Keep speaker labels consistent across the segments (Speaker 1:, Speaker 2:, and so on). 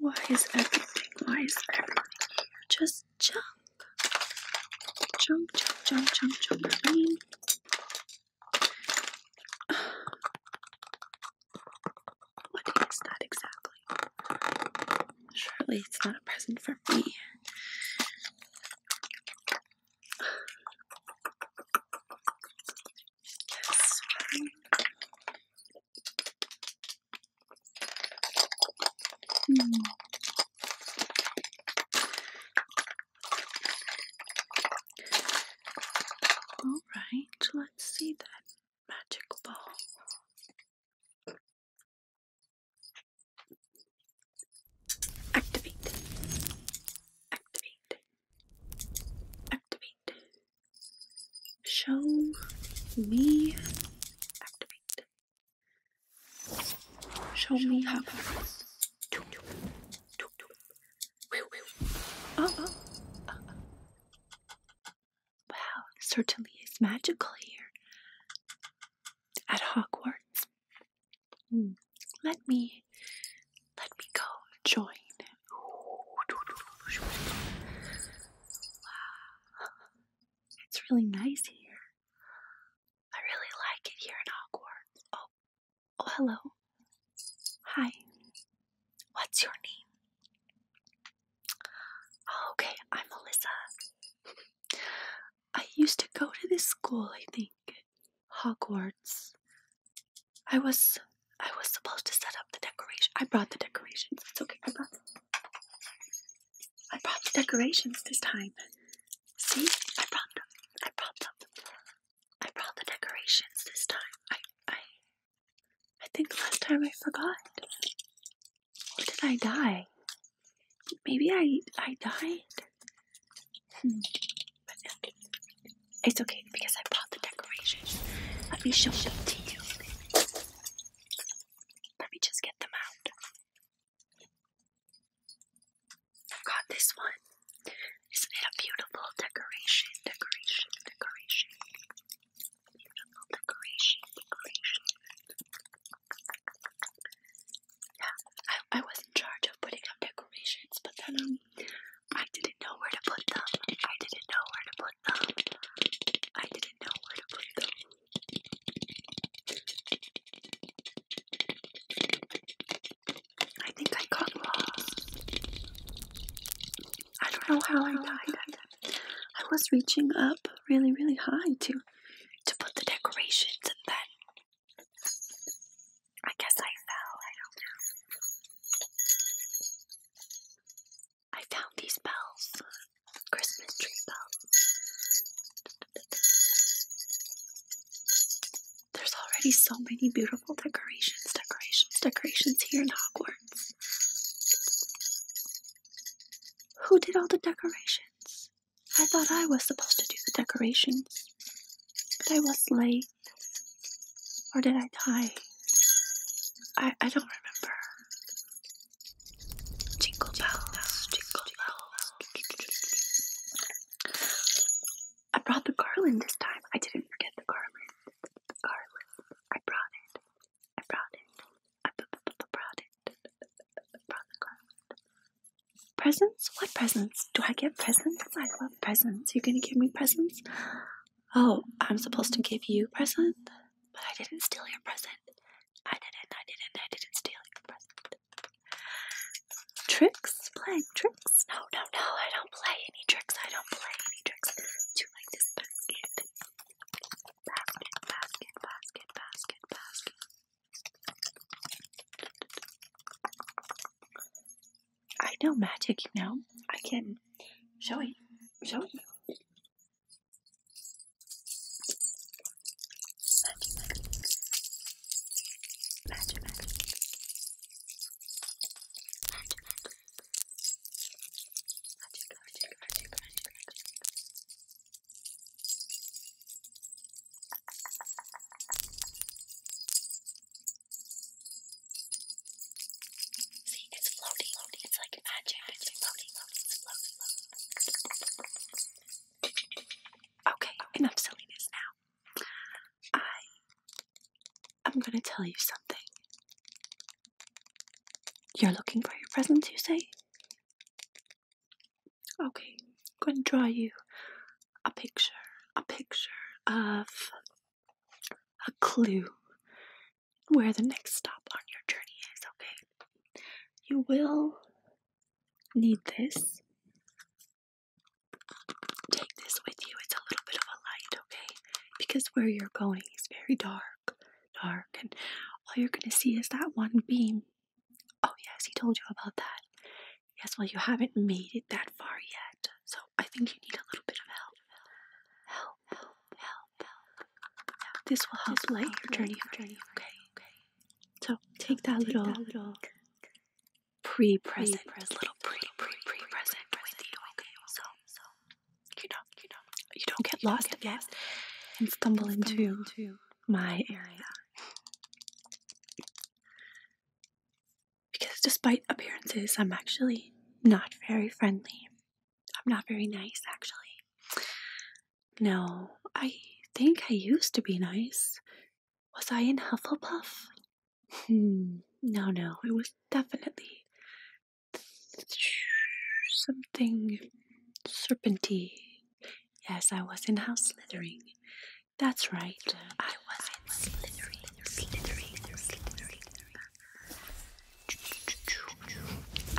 Speaker 1: Why is everything? Why is everything? Why is everything Just Chomp, chomp, chomp, chomp, chomp, chomp. junk. what is that exactly? Surely it's not a present for me. Hmm. All right, let's see that magic ball. Activate. Activate. Activate. Show me. Activate. Show me how fast. Wow, certainly it's magical here at Hogwarts. Hmm, let me, let me go join. It's really nice here. I really like it here in Hogwarts. Oh, oh, hello. Hi. What's your name? Oh, okay, I'm Melissa. I used to go to this school, I think. Hogwarts. I was I was supposed to set up the decoration. I brought the decorations. It's okay. I I brought the decorations this time. See, I brought them. I brought them. I brought the decorations this time. I, I, I think last time I forgot. did I die? Maybe I, I died. Hmm. it's okay because I brought the decorations. Let me show them to you. Let me just get them out. Got this one. Isn't it a beautiful decoration? Decoration, decoration. Beautiful decoration, decoration. Yeah, I, I was in charge of putting up decorations, but then um, I didn't know where to put them. I didn't know where to put them. I didn't know where to put them. I think I got lost. I don't know how I died. I was reaching up really, really high to to put the decorations and then I guess I fell. I don't know. I found these bells, Christmas tree bells. There's already so many beautiful decorations, decorations, decorations here in Hogwarts. Who did all the decorations? I thought I was supposed to do the decorations, but I was late. Or did I die? I, I don't remember. Jingle bells, jingle bells. I brought the garland this time. I didn't forget the garland. The garland. I brought it. I brought it. I b -b -b brought it. I brought the garland. Presents? What presents? Do I get presents? I love presents. You're gonna give me presents? Oh, I'm supposed to give you presents? But I didn't steal your present. I didn't, I didn't, I didn't steal your present. Tricks? Playing tricks? No, no, no, I don't play any tricks. I don't play any tricks. Do you like this basket? Basket, basket, basket, basket, I know magic, you know. I can show you. Show you. Magic Magazine. Magic Magazine. Magic Magazine. Magic, magic, magic, magic, magic. See, it's floating, floating. It's like magic. It's floating, floating. It's floating, floating. Okay, enough silliness now. I I'm gonna tell you something. You're looking for your presents, you say? Okay, gonna draw you a picture, a picture of a clue where the next stop on your journey is, okay? You will need this. Take this with you. It's a little bit of a light, okay? Because where you're going is very dark, dark, and all you're going to see is that one beam. Oh, yes, he told you about that. Yes, well, you haven't made it that far yet, so I think you need a little bit of help. Help, help, help, help. This will help light your journey, journey, so take that little, pre-present, pre-present, little pre-pre-pre-present you. so you don't you don't get lost and stumble, into my area. Because despite appearances, I'm actually not very friendly. I'm not very nice, actually. No, I think I used to be nice. Was I in Hufflepuff? Hmm, no, no, it was definitely something serpenty. Yes, I was in house slithering. That's right, I was in slithering, slithering, slithering.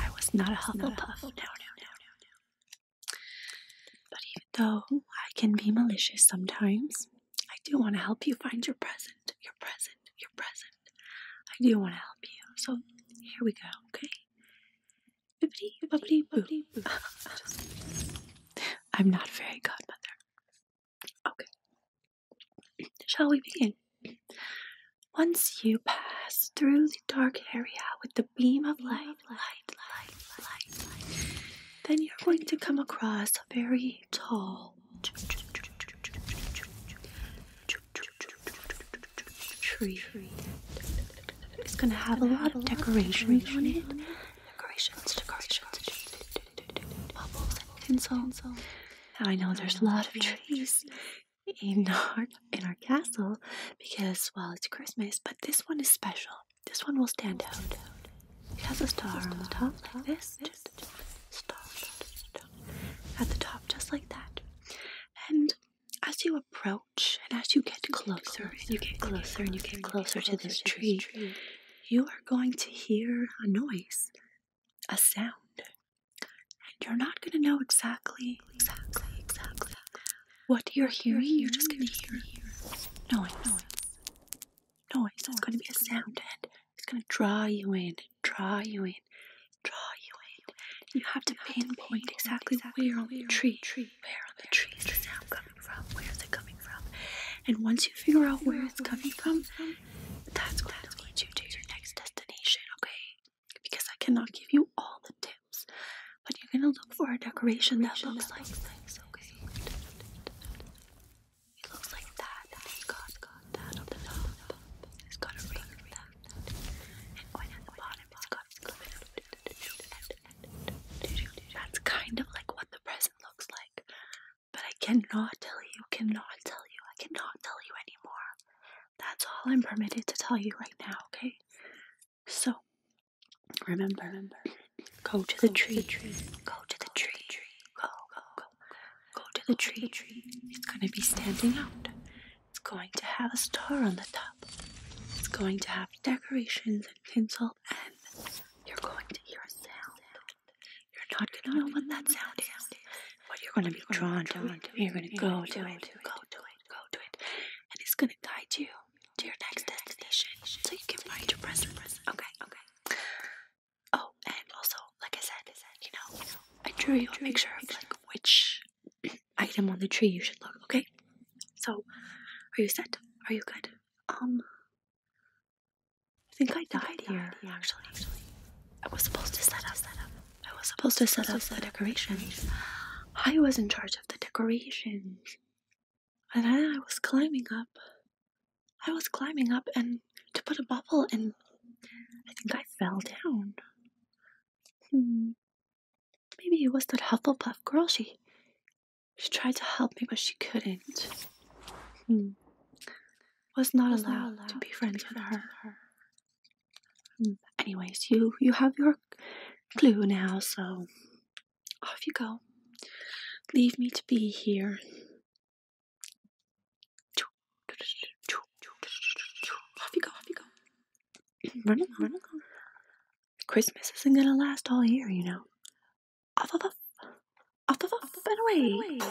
Speaker 1: I was not a Hufflepuff. No, no, no, no, no. But even though I can be malicious sometimes, I do want to help you find your present, your present, your present. I do want to help you. So here we go, okay? Bibbidi, bobbidi, bobbidi, I'm not very godmother. Okay. Shall we begin? Once you pass through the dark area with the beam of light, then you're going to come across a very tall tree. It's going to have a lot of decorations on it. Decorations, decorations, bubbles and tinsel. Now I know there's a lot of trees in our in our castle because well it's Christmas, but this one is special. This one will stand out. It has a star on the top like this. star, at the top just like that. And as you approach and as you get closer and you get closer and you get closer to this tree, you are going to hear a noise, a sound. And you're not gonna know exactly exactly exactly what you're hearing, you're just going to hear noise. Noise. Noise. It's going to be a sound, and it's going to draw you in, draw you in, draw you in. You have to pinpoint exactly where on the tree, where on the tree is the sound coming from, where is it coming from. And once you figure out where it's coming from, that's what you do to your next destination, okay? because I cannot give you all the tips, but you're gonna look for a decoration that looks like this. Okay. It looks like that. it's got, that on the top. It's got a ring of that. And one at the bottom, it's got a clip. That's kind of like what the present looks like. But I cannot tell you, cannot tell you, I cannot tell you anymore. That's all I'm permitted to tell you right now, okay? So remember, remember, go to the tree, tree, go to the tree, go, go, go, go to the tree. It's going to be standing out. It's going to have a star on the top. It's going to have decorations and tinsel, and you're going to hear a sound. You're not going to know what that sound is, but you're going to be drawn to it. You're going to go to it, go to it, go to it, and it's going to guide you to your next destination so you can find your present. Okay, okay. Oh, and also, like I said, you know, I drew you a picture of like which item on the tree you should look. Okay, so are you set? Are you good? Um, I think I died here. Actually, actually, I was supposed to set up. Set up. I was supposed to set up the decoration. I was in charge the decorations. And then I was climbing up. I was climbing up and to put a bubble and I think I fell down. Hmm. Maybe it was that Hufflepuff girl. She she tried to help me but she couldn't. Hmm. Was not, allowed, to be friends, with her anyways, you you have your clue now, so off you go. Leave me to be here. Off you go, off you go. Run along, run along. Christmas isn't gonna last all year, you know. Off, off, off, off, off, off, off and away. away.